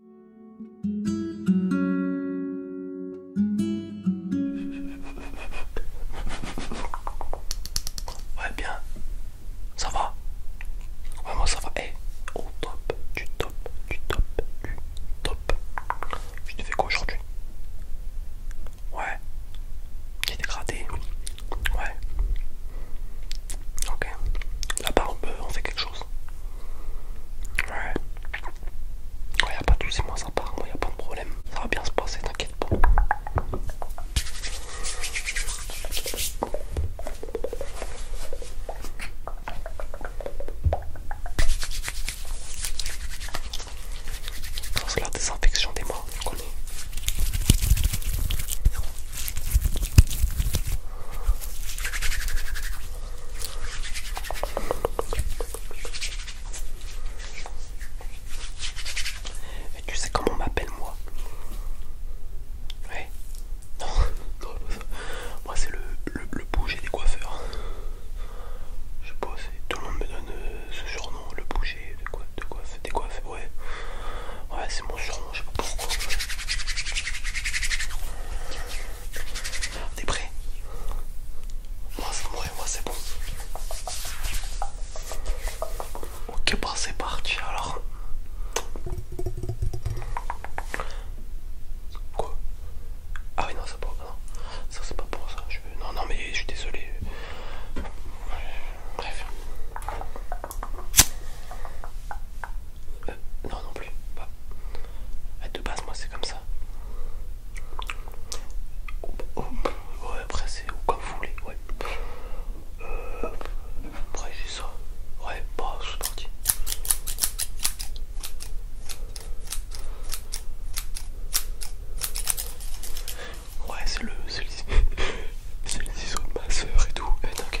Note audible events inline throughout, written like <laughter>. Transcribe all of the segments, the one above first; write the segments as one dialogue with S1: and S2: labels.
S1: Ouais bien, ça va Ouais moi ça va, eh au top, du top, du top, du top Je te fais quoi aujourd'hui Ouais, j'ai dégradé, ouais Ok, là-bas on peut, on fait quelque chose Ouais Ouais. y'a pas de soucis, moi ça part, moi a pas de problème. Ça va bien se passer, t'inquiète pas. C'est la désinfection des mains, on connaît. Et tu sais comment on m'appelle moi Ouais Non, <laughs> Moi c'est le, le, bouger des coiffeurs. Je sais pas, tout le monde me donne euh, ce surnom, le bouger de, quoi, de des coiffeurs, ouais. Ouais, c'est mon surnom je sais pas pourquoi. T'es prêt Moi, moi, c'est bon. Ok, bah, c'est parti alors. Quoi Ah oui, non, Ça c'est pas pour ça. Non, non, mais je suis désolé. Bref. Euh, non, non plus. pas de base, moi, c'est comme ça. ouais, après, c'est comme vous voulez. Ouais. Euh, après, c'est ça. Ouais, bah, c'est parti. Ouais, c'est le, c'est le ciseau <laughs> de ma soeur et tout. Eh,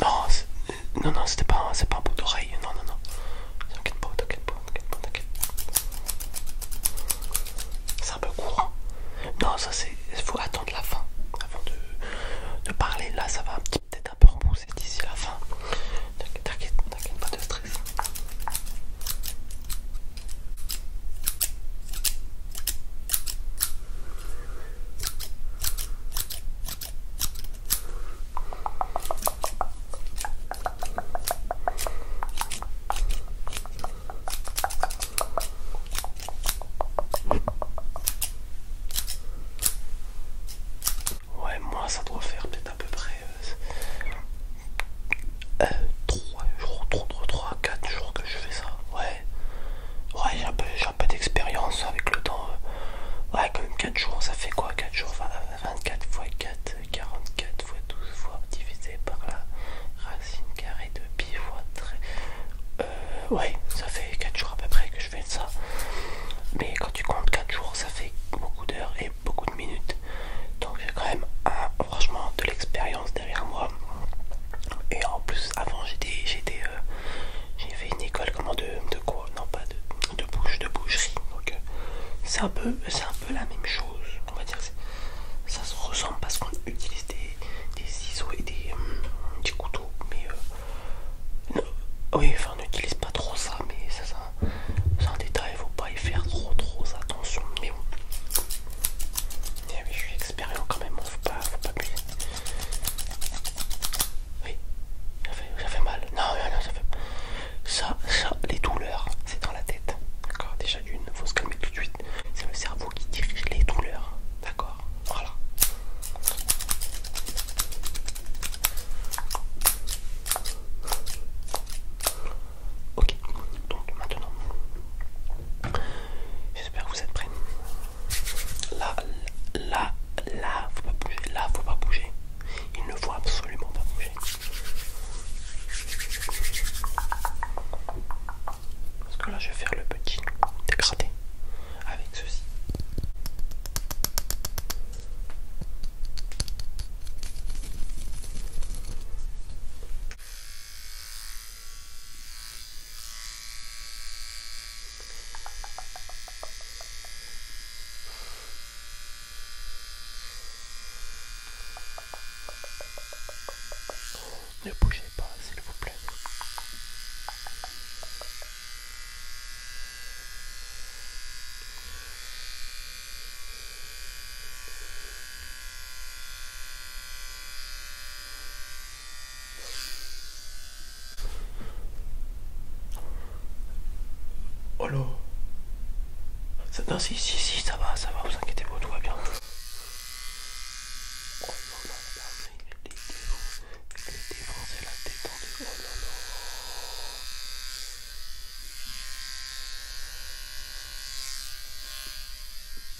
S1: Non, non, non, c'était pas, un bout d'oreille. Non, non, non. T'inquiète pas, t'inquiète pas, t'inquiète pas, t'inquiète. C'est un peu court. Hein. Non, ça c'est. Il faut attendre la fin avant de, parler. Là, ça va peut-être un peu repousser d'ici la fin. T'inquiète, t'inquiète pas de stress. Ouais, moi ça doit faire peut-être à peu près euh, 3 jours, 3, 3, 4 jours que je fais ça. Ouais, ouais. j'ai un peu, d'expérience avec le temps. Euh, ouais, quand même 4 jours, ça fait quoi 4 jours 24 x 4, 44 x 12 fois divisé par la racine carrée de pi fois 3 euh, ouais, ça fait 4 jours à peu près que je fais ça. Mais quand tu comptes 4 jours, ça fait beaucoup d'heures et beaucoup de minutes. Donc j'ai quand même, franchement, de l'expérience derrière moi. Et en plus, avant, j'étais, j'étais, euh, j'ai fait une école comment de, de quoi Non, pas de, bouche, de boucherie. Donc, euh, c'est un peu, c'est un peu la même chose. On va dire, ça se ressemble parce qu'on utilise des, ciseaux et des, euh, des couteaux. Mais oui, enfin, on n'utilise pas trop ça. Mais ça, sans c'est un détail. Faut pas y faire trop, trop attention. Mais bon je suis expérient quand même, faut pas, faut pas Oui, ça fait, mal. Non, non, non, ça fait Ça, ça, les douleurs, c'est dans la tête. D'accord Déjà d'une, faut se calmer tout de suite. C'est le cerveau qui dirige les douleurs. D'accord Voilà. Ok, donc maintenant, j'espère que vous êtes prêts. Là, là, là, faut pas bouger. Là, faut pas bouger. Il ne faut absolument pas bouger. Parce que là, je vais faire le petit dégradé avec ceci. Ne bougez pas, s'il vous plaît. Oh là ça, Non, si, si, si, ça va, ça va, vous inquiétez pas, tout va bien. Oh non, non, là, il est défoncé, la détendu. Oh non, non.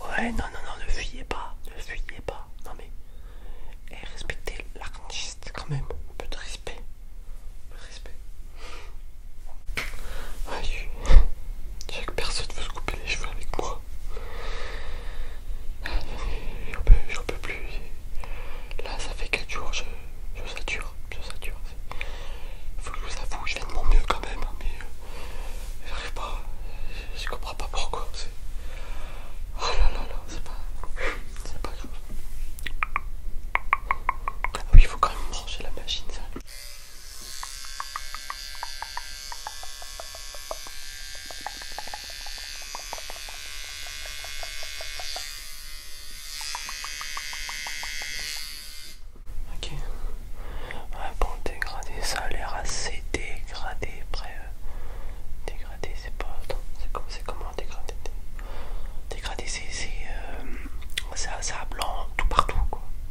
S1: Ouais, non, non, non, ne fuyez pas, ne fuyez pas, non mais. Et eh, respectez l'artiste quand même, un peu de respect, un respect chaque personne veut se couper les cheveux avec moi. je peux, peux plus. Là, ça fait 4 jours, je, je sature. Je Faut que je vous avoue, je fais de mon mieux quand même, hein, mais je euh, j'arrive pas. Je, comprends pas pourquoi. Oh là là là, c'est pas, pas grave. Ah oui, il faut quand même brancher la machine, ça. Ok. Ah bon, dégradé, ça a l'air assez dégradé. Après, euh, dégradé, c'est pas. C'est comment dégradé Dégradé, c'est. C'est à euh, ça blanc tout partout, quoi.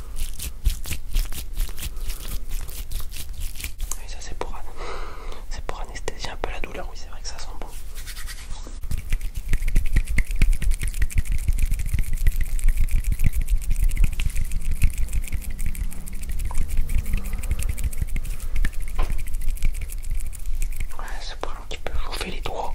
S1: Oui, ça c'est pour, pour anesthésier un peu la douleur, oui c'est vrai que ça sent bon. Ouais, c'est pour un petit peu chauffer les doigts.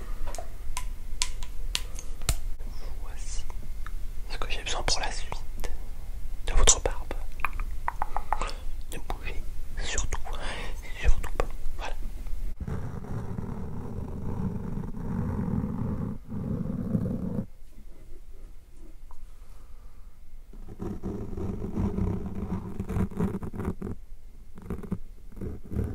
S1: Voici ce que j'ai besoin pour la suite de votre barbe. Ne bougez surtout, surtout pas. Voilà.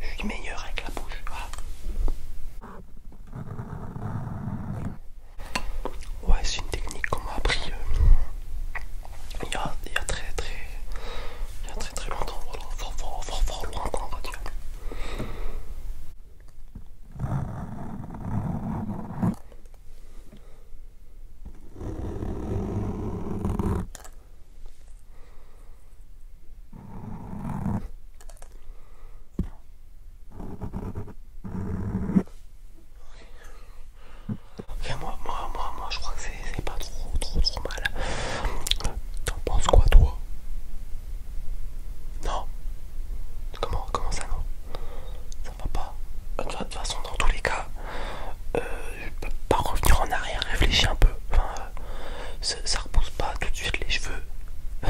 S1: Je suis meilleur avec la bouche. Ouais, c'est une technique qu'on m'a appris euh, il, y a, il y très très il y a très très longtemps, voilà, fort fort fort fort encore, Ok moi, moi, moi, moi, je crois que c'est pas trop, trop, trop mal. T'en penses quoi, toi non. Comment, ça non Ça va pas. De toute façon, dans tous les cas, je peux pas revenir en arrière, réfléchir un peu. Euh, ça, repousse pas tout de suite les cheveux. <laughs> Je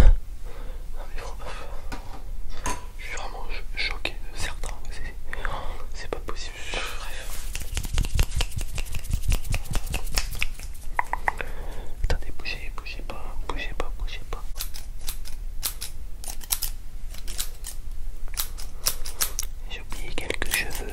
S1: suis vraiment choqué Certain, certains. C'est pas possible. Attendez, bougez, bougez pas, bougez pas, bougez pas. J'ai oublié quelques cheveux.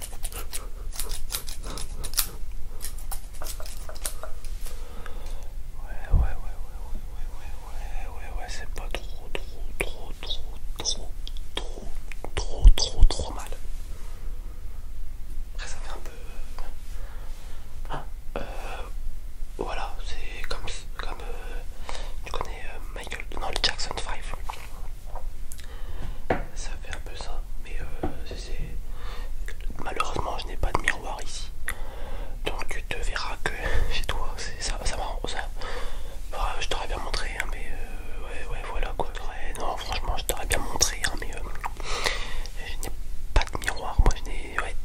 S1: ouais, ouais, ouais, ouais, ouais, ouais, ouais, ouais, ouais c'est pas trop, trop, trop, trop, trop, trop, trop, trop, trop trop mal. Après, ça fait un peu. voilà, c'est comme, comme tu connais Michael, non, le Jackson 5 ça fait un peu ça mais euh, malheureusement je n'ai pas de miroir ici donc tu te verras que <laughs> chez toi ça ça marrant ça bah, je t'aurais bien montré hein, mais euh, ouais ouais voilà quoi non franchement je t'aurais bien montré hein, mais euh, je n'ai pas de miroir moi je n'ai ouais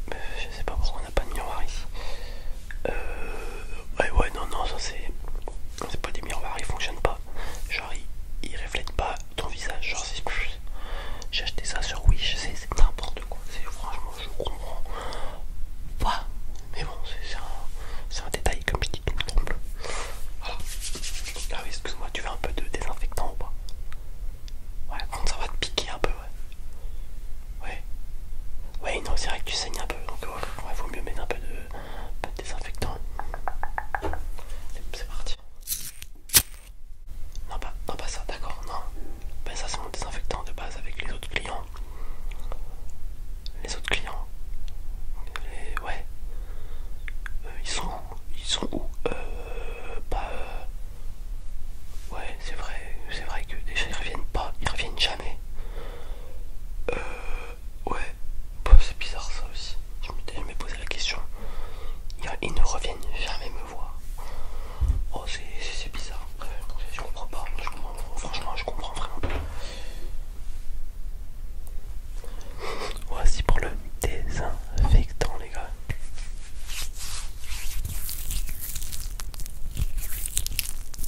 S1: je sais pas pourquoi on n'a pas de miroir ici ouais ouais non non ça c'est c'est pas des miroirs, ils fonctionnent pas. Genre, ils, ils reflètent pas ton visage. Genre, c'est plus. j'ai acheté ça sur Wish, c'est n'importe quoi. Franchement, je comprends pas. Mais bon, c'est un, détail, comme je dis, tout me trompes. Ah oui, excuse-moi, tu veux un peu de désinfectant ou pas Ouais, contre ça va te piquer un peu, ouais. Ouais. Ouais, non, c'est vrai que tu saignes un peu, donc il vaut mieux mettre un peu de un peu de désinfectant. C'est parti. Non pas, non pas ça, d'accord, non. Ben ça c'est mon désinfectant de base avec les autres clients. Les autres clients. ouais. Euh, ils sont ils sont où euh, Bah ouais c'est vrai c'est vrai que déjà ils reviennent pas ils reviennent jamais. Euh, ouais, bah, c'est bizarre ça aussi. Je m'étais jamais posé la question. Ils ne reviennent jamais me voir. Oh, c'est bizarre. Je comprends pas. franchement, je comprends vraiment pas. Voici pour le désinfectant, les gars.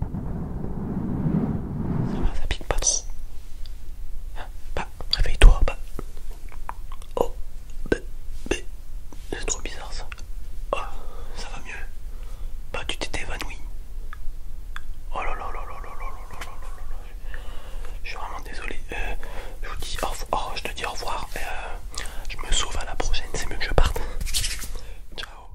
S1: Ça va, pique pas trop. réveille-toi, bah. Oh, C'est trop bizarre ça. ça va mieux. Bah, tu t'es évanoui. Oh là là Je suis vraiment désolé. je dis je te dis au revoir. je me sauve à la prochaine. C'est mieux que je parte. Ciao.